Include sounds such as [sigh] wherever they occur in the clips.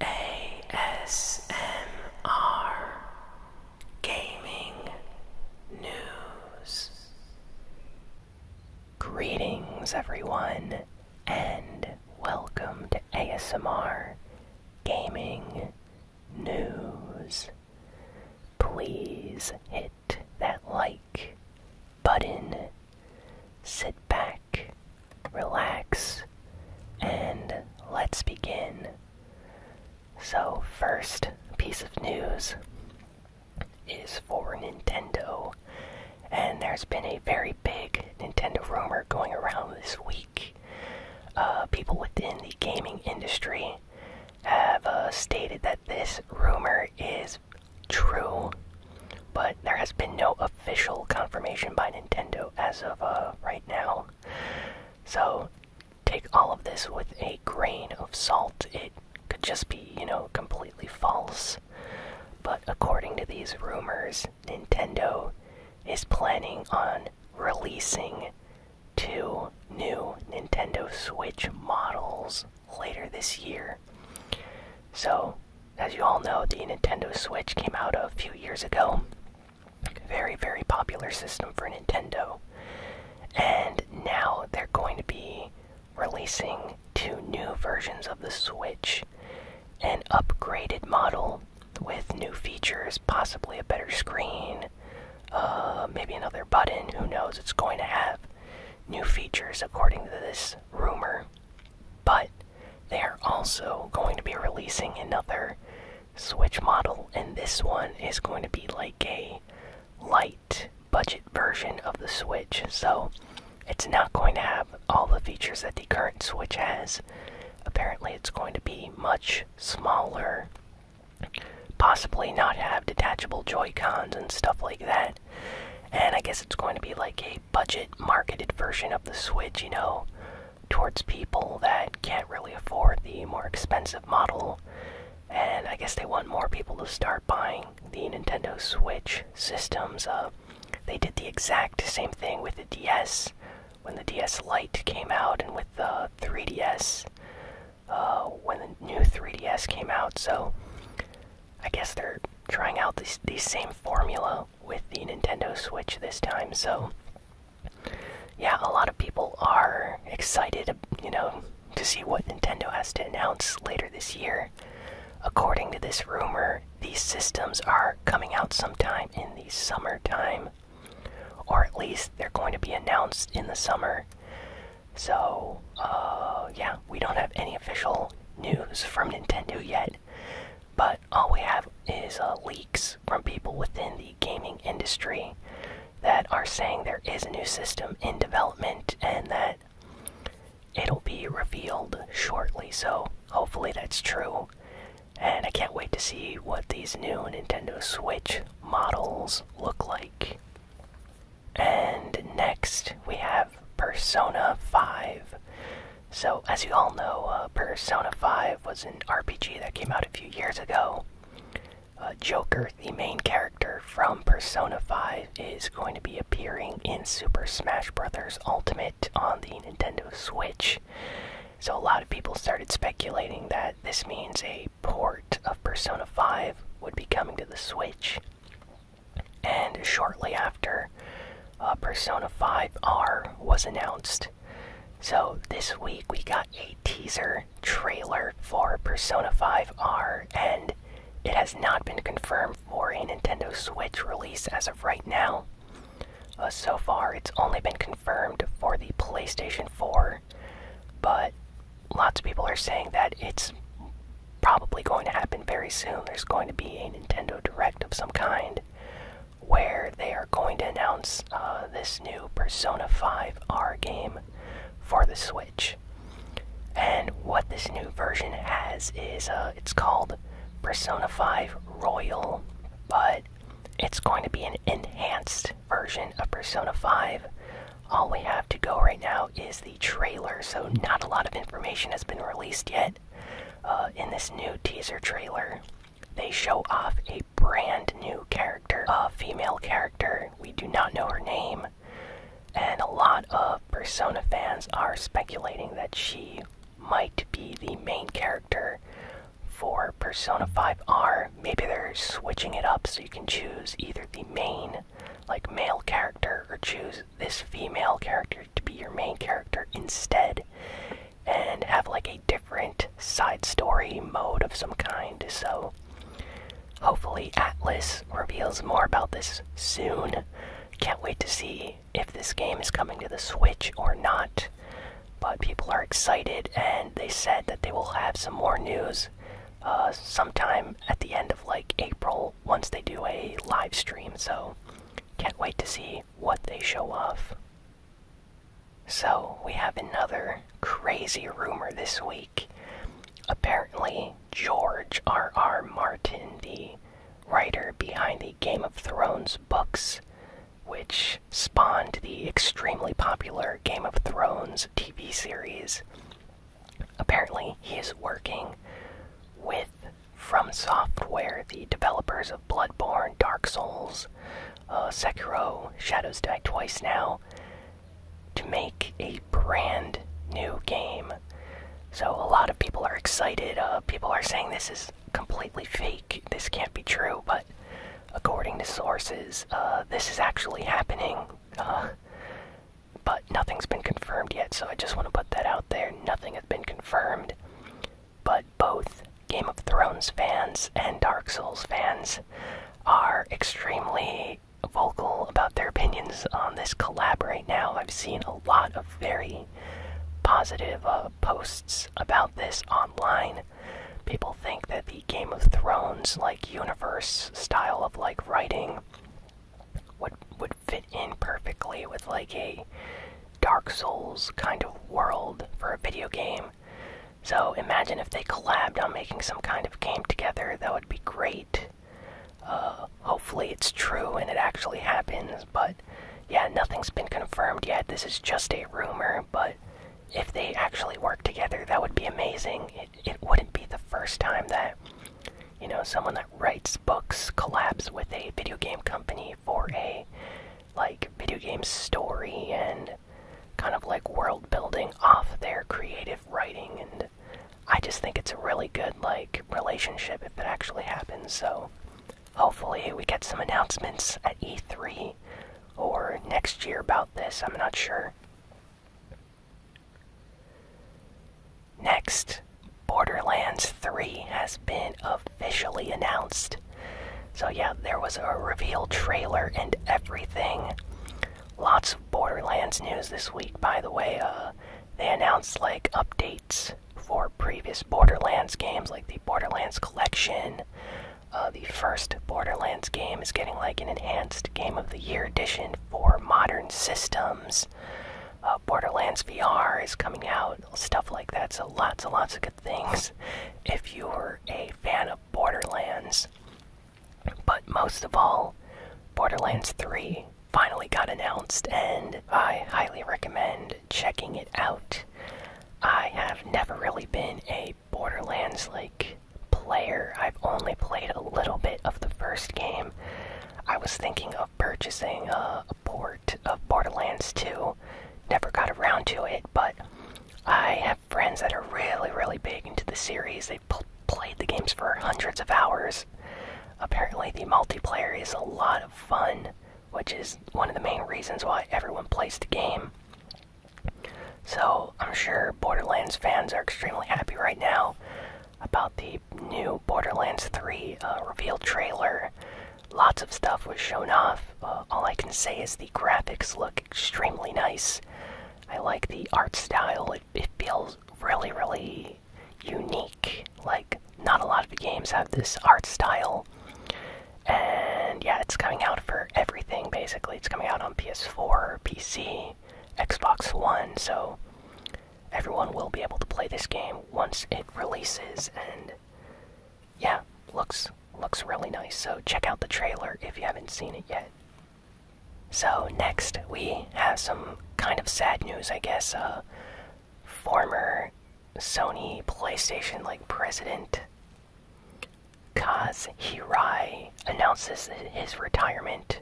ASMR Gaming News. Greetings, everyone, and welcome to ASMR Gaming News. Please hit that like button, sit back relax, and let's begin. So, first piece of news is for Nintendo, and there's been a very big Nintendo rumor going around this week. Uh, people within the gaming industry have uh, stated that this rumor is true but there has been no official confirmation by Nintendo as of uh, right now. So take all of this with a grain of salt. It could just be, you know, completely false. But according to these rumors, Nintendo is planning on releasing two new Nintendo Switch models later this year. So, as you all know, the Nintendo Switch came out a few years ago. Very, very popular system for Nintendo. And now they're going to be releasing two new versions of the Switch an upgraded model with new features, possibly a better screen, uh, maybe another button, who knows? It's going to have new features according to this rumor. But they are also going to be releasing another Switch model, and this one is going to be like a light budget version of the Switch. So it's not going to have all the features that the current Switch has. Apparently, it's going to be much smaller, possibly not have detachable Joy Cons and stuff like that. And I guess it's going to be like a budget marketed version of the Switch, you know, towards people that can't really afford the more expensive model. And I guess they want more people to start buying the Nintendo Switch systems. Uh, they did the exact same thing with the DS when the DS Lite came out, and with the 3DS uh, when the new 3DS came out. So I guess they're trying out the these same formula with the Nintendo Switch this time. So, yeah, a lot of people are excited, you know, to see what Nintendo has to announce later this year. According to this rumor, these systems are coming out sometime in the summertime. Or at least they're going to be announced in the summer. So, uh, yeah, we don't have any official news from Nintendo yet, but all we have is uh, leaks from people within the gaming industry that are saying there is a new system in development and that it'll be revealed shortly. So, hopefully, that's true. And I can't wait to see what these new Nintendo Switch models look like. And next we have Persona 5. So, as you all know, uh, Persona 5 was an RPG that came out a few years ago. Uh, Joker, the main character from Persona 5, is going to be appearing in Super Smash Bros. Ultimate on the Nintendo Switch. So, a lot of people started speculating that this means a port of Persona 5 would be coming to the Switch. And shortly after, uh, Persona 5R was announced. So this week we got a teaser trailer for Persona 5R, and it has not been confirmed for a Nintendo Switch release as of right now. Uh, so far, it's only been confirmed for the PlayStation 4, but lots of people are saying that it's probably going to happen very soon. There's going to be a Nintendo Direct of some kind where they are going to announce uh, this new Persona 5R game for the Switch. And what this new version has is uh, it's called Persona 5 Royal, but it's going to be an enhanced version of Persona 5 all we have to go right now is the trailer, so not a lot of information has been released yet. Uh, in this new teaser trailer, they show off a brand new character, a female character. We do not know her name, and a lot of Persona fans are speculating that she might be the main character for Persona 5R. Maybe they're switching it up so you can choose either the main like male character or choose this female character to be your main character instead and have like a different side story mode of some kind so hopefully atlas reveals more about this soon can't wait to see if this game is coming to the switch or not but people are excited and they said that they will have some more news uh, sometime at the end of like April once they do a live stream. So can't wait to see what they show off. So we have another crazy rumor this week. Apparently, George R. R. Martin, the writer behind the Game of Thrones books, which spawned the extremely popular Game of Thrones TV series, Apparently, he is working with From Software, the developers of Bloodborne, Dark Souls, uh, Sekiro, Shadows Die Twice now, to make a brand new game. So, a lot of people are excited. Uh, people are saying this is completely fake, this can't be true, but according to sources, uh, this is actually happening. Uh, but nothing's been confirmed yet, so I just want to put that out there. Nothing has been confirmed, but both Game of Thrones fans and Dark Souls fans are extremely vocal about their opinions on this collab right now. I've seen a lot of very positive uh, posts about this online. People think that the Game of Thrones like universe style of like writing would would fit in perfectly with like a Dark Souls kind of world for a video game. So imagine if they collabed on making some kind of game together. That would be great. Uh, hopefully it's true and it actually happens, but yeah, nothing's been confirmed yet. This is just a rumor, but if they actually work together, that would be amazing it wouldn't be the first time that you know someone that writes books collabs with a video game company for a like video game story and kind of like world building off their creative writing and i just think it's a really good like relationship if it actually happens so hopefully we get some announcements at e3 or next year about this i'm not sure Next, Borderlands 3 has been officially announced. So, yeah, there was a reveal trailer and everything. Lots of Borderlands news this week, by the way. Uh, they announced, like, updates for previous Borderlands games, like the Borderlands Collection, uh, the first Borderlands game is getting like an enhanced Game of the Year edition for modern systems. Uh, Borderlands VR is coming out, stuff like that. So lots and lots of good things [laughs] if you were a fan of Borderlands. But most of all, Borderlands 3 finally got announced, and I highly recommend checking it out. I have never really been a Borderlands like player. I've only played a little bit of the first game. I was thinking of purchasing a, port of Borderlands 2. Never got around to it, but I have friends that are really, really big into the series. They've played the games for hundreds of hours. Apparently, the multiplayer is a lot of fun, which is one of the main reasons why everyone plays the game. So, I'm sure Borderlands fans are extremely happy right now about the new Borderlands 3 uh, reveal trailer. Lots of stuff was shown off. Uh, all I can say is the graphics look extremely nice. I like the art style, it feels really, really unique. Like, not a lot of games have this art style. And yeah, it's coming out for everything basically. It's coming out on PS4, PC, Xbox One, so everyone will be able to play this game once it releases and yeah, looks looks really nice. So check out the trailer if you haven't seen it yet. So next we have some kind of sad news, I guess. A uh, former Sony PlayStation like president Kaz Hirai announces his retirement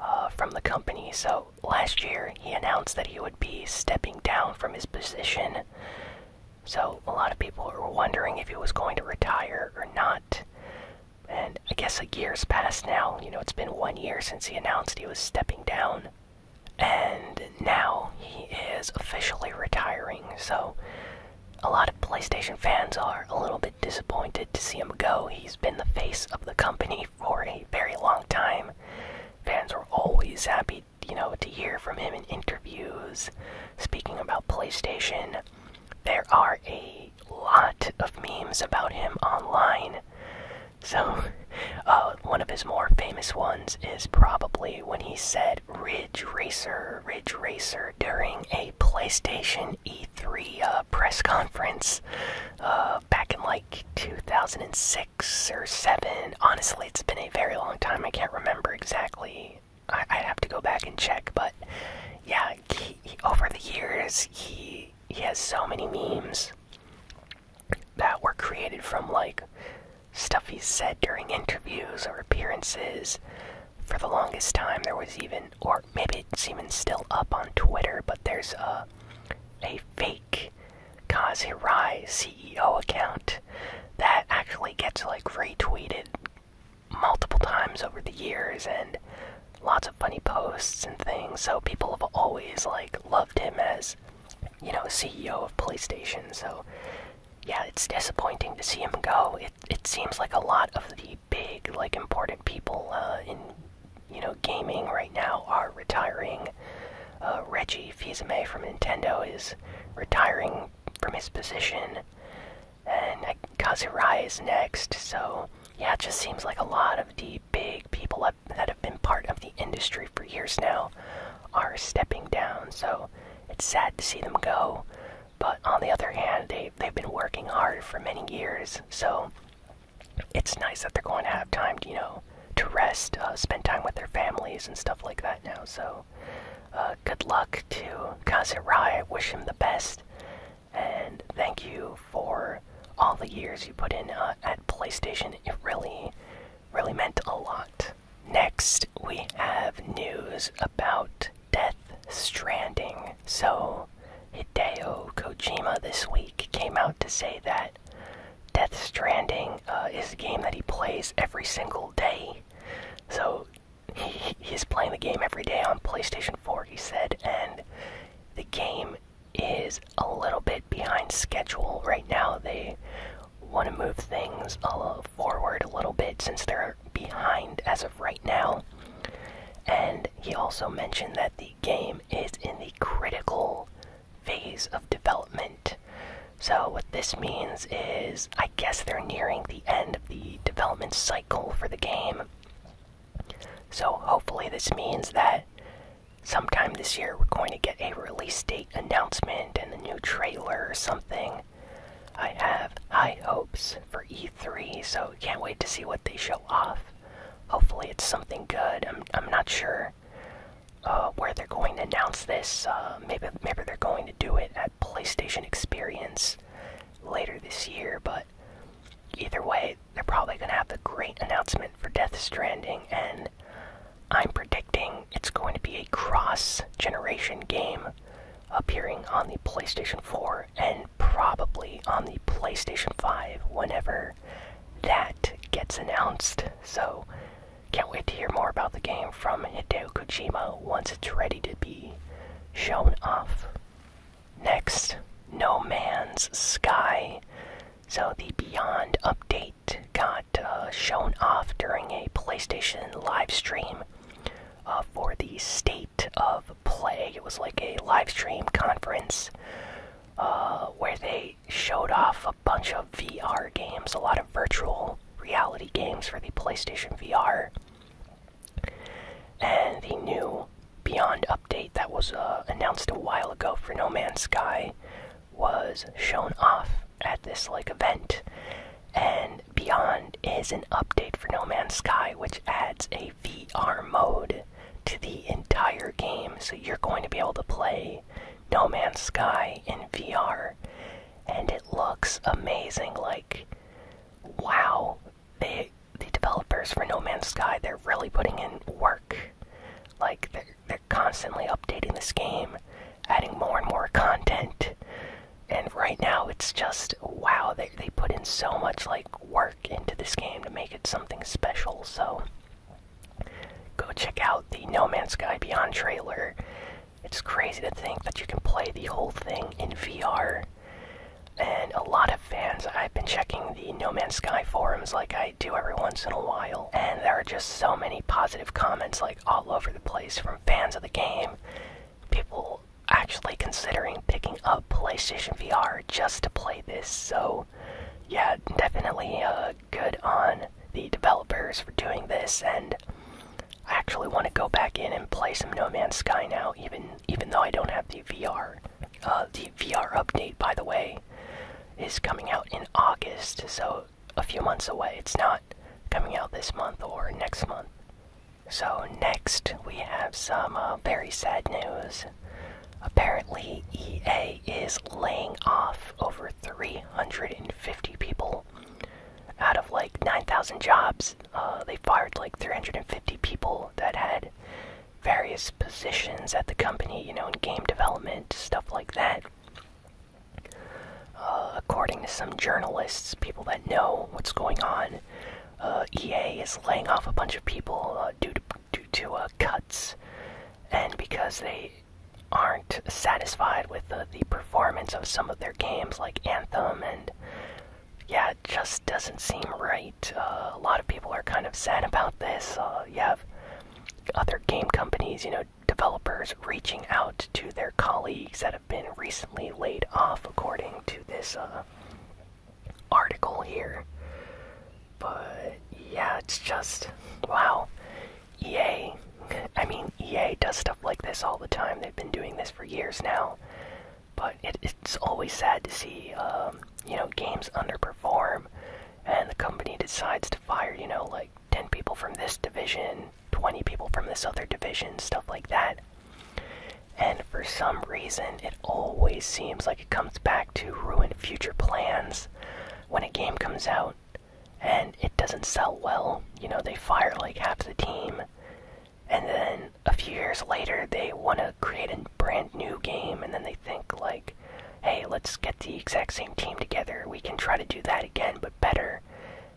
uh, from the company. So last year he announced that he would be stepping down from his position. So a lot of people were wondering if he was going to retire or not. And I guess a year's passed now. You know, it's been one year since he announced he was stepping down. And now he is officially retiring. So a lot of PlayStation fans are a little bit disappointed to see him go. He's been the face of the company for a very long time. Fans were always happy, you know, to hear from him in interviews, speaking about PlayStation. There are a lot of memes about him online. So, [laughs] uh, one of his more famous ones is probably when he said, Ridge Racer, Ridge Racer during a PlayStation E3 uh, press conference uh, back in like 2006 or 7. Honestly, it's been a very long time. I can't remember exactly. I have to go back and check, but yeah, over the years, he he has so many memes that were created from like stuff he said during interviews or appearances for the longest time there was even or maybe it's even still up on twitter but there's a a fake Kaz Hirai CEO account that actually gets like retweeted multiple times over the years and lots of funny posts and things so people have always like loved him as you know CEO of PlayStation so yeah, it's disappointing to see him go. It it seems like a lot of the big, like important people uh, in you know gaming right now are retiring. Uh, Reggie fils from Nintendo is retiring from his position, and Kazurai is next. So yeah, it just seems like a lot of the big people that have been part of the industry for years now are stepping down. So it's sad to see them go. But on the other hand, they they've been working hard for many years, so it's nice that they're going to have time, you know, to rest, uh, spend time with their families and stuff like that now. So, uh, good luck to Kazurai. Wish him the best, and thank you for all the years you put in uh, at PlayStation. It really, really meant a lot. Next, we have news about Death Stranding. So, Hideo Kojima this week came out to say that Death Stranding uh, is a game that he plays every single day. So, he, is playing the game every day on PlayStation 4, he said, and the game is a little bit behind schedule right now. They want to move things uh, forward a little bit since they're behind as of right now. And he also mentioned that the game is in the critical phase of development. So, what this means is, I guess they're nearing the end of the development cycle for the game. So, hopefully, this means that sometime this year we're going to get a release date announcement and a new trailer or something. I have high hopes for E3, so can't wait to see what they show off. Hopefully, it's something good. I'm, I'm not sure uh, where they're going to announce this. Uh, maybe, maybe they're going to do it at PlayStation Experience later this year, but either way, they're probably going to have a great announcement for Death Stranding, and I'm predicting it's going to be a cross generation game appearing on the PlayStation 4 and probably on the PlayStation 5 whenever that gets announced. So, can't wait to hear more about the game from Hideo Kojima once it's ready to be shown off. Next, No Man's Sky. So, the Beyond update got uh, shown off during a PlayStation live stream uh, for the State of Play. It was like a live stream conference uh, where they showed off a bunch of VR games, a lot of virtual reality games for the PlayStation VR. And the new Beyond update that was announced a while ago for No Man's Sky was shown off at this like event and beyond is an update for no man's sky which adds a vr mode to the entire game so you're going to be able to play no man's sky in vr and it looks amazing like wow they the developers for no man's sky they're really putting in work like they're, they're constantly updating this game, adding more and more content. And right now, it's just wow, they, put in so much like work into this game to make it something special. So, go check out the No Man's Sky Beyond trailer. It's crazy to think that you can play the whole thing in VR. And a lot of fans, I've been checking the No Man's Sky forums like I do every once in a while, and there are just so many positive comments like, all over the place from fans of the game, people actually considering picking up PlayStation VR just to play this. So, yeah, definitely uh, good on the developers for doing this, and I actually want to go back in and play some No Man's Sky now, even even though I don't have the VR. Uh, the VR update, by the way, is coming out in August, so a few months away. It's not coming out this month or next month. So, next, we have some uh, very sad news. Apparently, EA is laying off over 350 people. Out of like 9,000 jobs, uh, they fired like 350 people that had various positions at the company, you know, in game development, stuff like that. Uh, according to some journalists, people that know what's going on, uh, EA is laying off a bunch of people uh, due to due to cuts, and because they aren't satisfied with the performance of some of their games, like Anthem, and yeah, it just doesn't seem right. a lot of people are kind of sad about this. you have other game companies, you know, developers reaching out to their colleagues that have been recently laid off, according to this uh, article here. But yeah, it's just wow. EA, I mean, EA does stuff like this all the time. They've been doing this for years now. But it's always sad to see, um, you know, games underperform and the company decides to fire, you know, like 10 people from this division, 20 people from this other division, stuff like that. And for some reason, it always seems like it comes back to ruin future plans when a game comes out and it doesn't sell well. You know, they fire like half the team, and then a few years later, they want to create a brand new game, and then they think, like, hey, let's get the exact same team together. We can try to do that again, but better.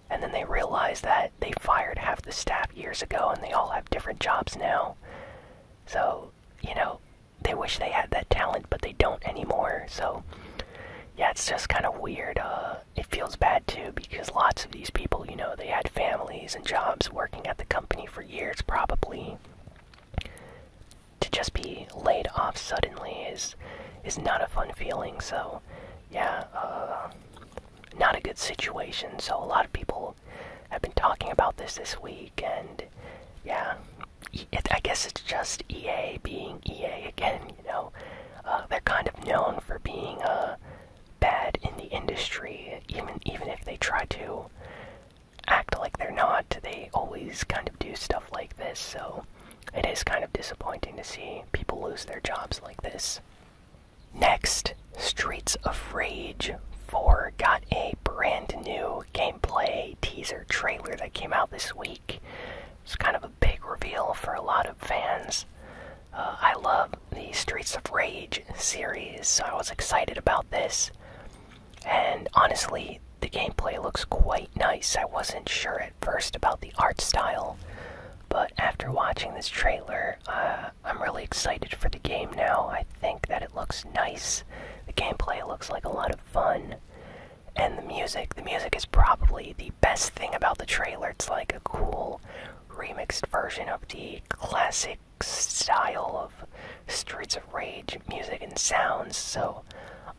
And then they realize that they fired half the staff years ago and they all have different jobs now. So, you know, they wish they had that talent, but they don't anymore. So, yeah, it's just kind of weird. Uh, it feels bad too because lots of these people, you know, they had families and jobs working at the company for years probably to just be laid off suddenly is is not a fun feeling. So, yeah, uh, not a good situation. So a lot of people have been talking about this this week, and yeah, I guess it's just EA being EA again. You know, uh, they're kind of known for being uh, bad in the industry, even even if they try to act like they're not. They always kind of do stuff like this, so it is kind of disappointing to see people lose their jobs like this. Next, Streets of Rage 4 got a brand new gameplay teaser trailer that came out this week. It's kind of a big reveal for a lot of fans. Uh, I love the Streets of Rage series, so I was excited about this. And honestly, the gameplay looks quite nice. I wasn't sure at first about the art style, but after watching this trailer, uh, I'm really excited for the game now. I think that it looks nice. The gameplay looks like a lot of fun. And the music, the music is probably the best thing about the trailer. It's like a cool remixed version of the classic style of Streets of Rage music and sounds. So,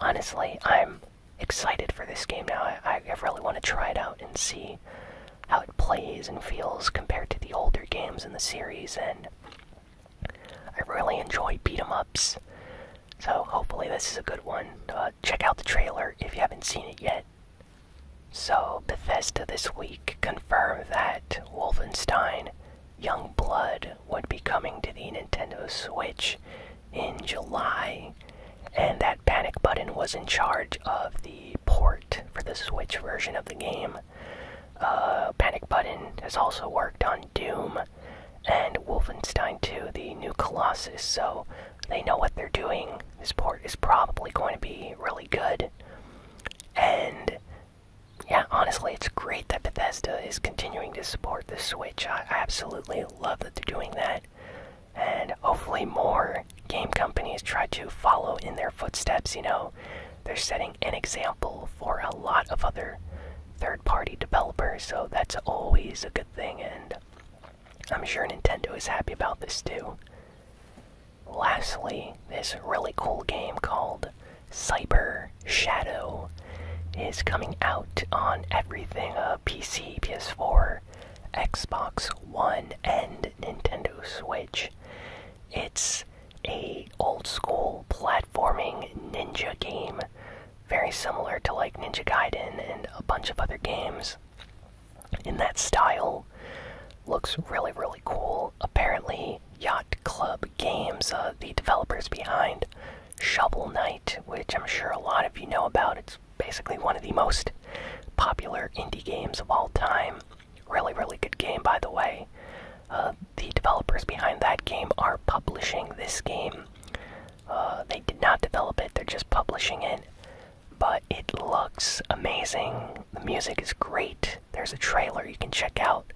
honestly, I'm excited for this game now. I, I really want to try it out and see how it plays and feels compared to the older games in the series. And I really enjoy beat 'em ups. So, hopefully, this is a good one. Uh, check out the trailer if you haven't seen it yet. So, Bethesda this week confirmed that Wolfenstein Young Blood would be coming to the Nintendo Switch in July, and that Panic Button was in charge of the port for the Switch version of the game. Uh, panic Button has also worked on Doom and Wolfenstein 2, the new Colossus, so they know what they're doing. This port is probably going to be really good. And yeah, honestly, it's great that Bethesda is continuing to support the Switch. I, absolutely love that they're doing that. And hopefully, more game companies try to follow in their footsteps. You know, they're setting an example for a lot of other third party developers, so that's always a good thing. And I'm sure Nintendo is happy about this too. Lastly, this really cool game called Cyber Shadow is coming out on everything uh, PC, PS4, Xbox One, and Nintendo Switch. It's a old school platforming ninja game, very similar to like Ninja Gaiden and a bunch of other games in that style. Looks really, really cool. Apparently, Yacht Club Games, uh, the developers behind Shovel Knight, which I'm sure a lot of you know about. It's basically one of the most popular indie games of all time. Really, really good game, by the way. Uh, the developers behind that game are publishing this game. Uh, they did not develop it, they're just publishing it. But it looks amazing. The music is great there's a trailer you can check out.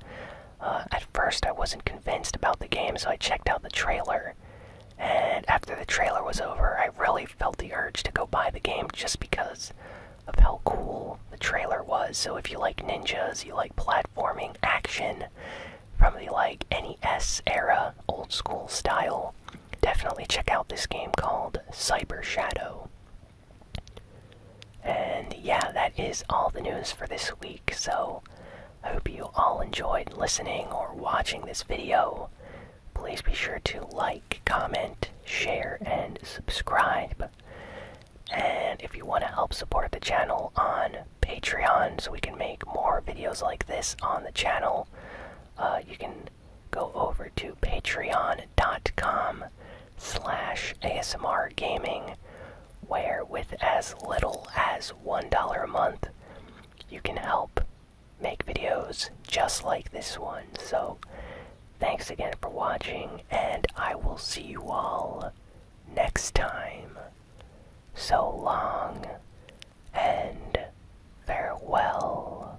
Uh, at first, I wasn't convinced about the game, so I checked out the trailer. And after the trailer was over, I really felt the urge to go buy the game just because of how cool the trailer was. So if you like ninjas, you like platforming action probably the like NES era, old school style, definitely check out this game called Cyber Shadow. And yeah, that is all the news for this week. So, I hope you all enjoyed listening or watching this video. Please be sure to like, comment, share, and subscribe. And if you want to help support the channel on Patreon so we can make more videos like this on the channel, uh, you can go over to patreon.com slash ASMR gaming, where with as little as $1 a month, you can help make videos just like this one. So, thanks again for watching, and I will see you all next time. So long, and farewell.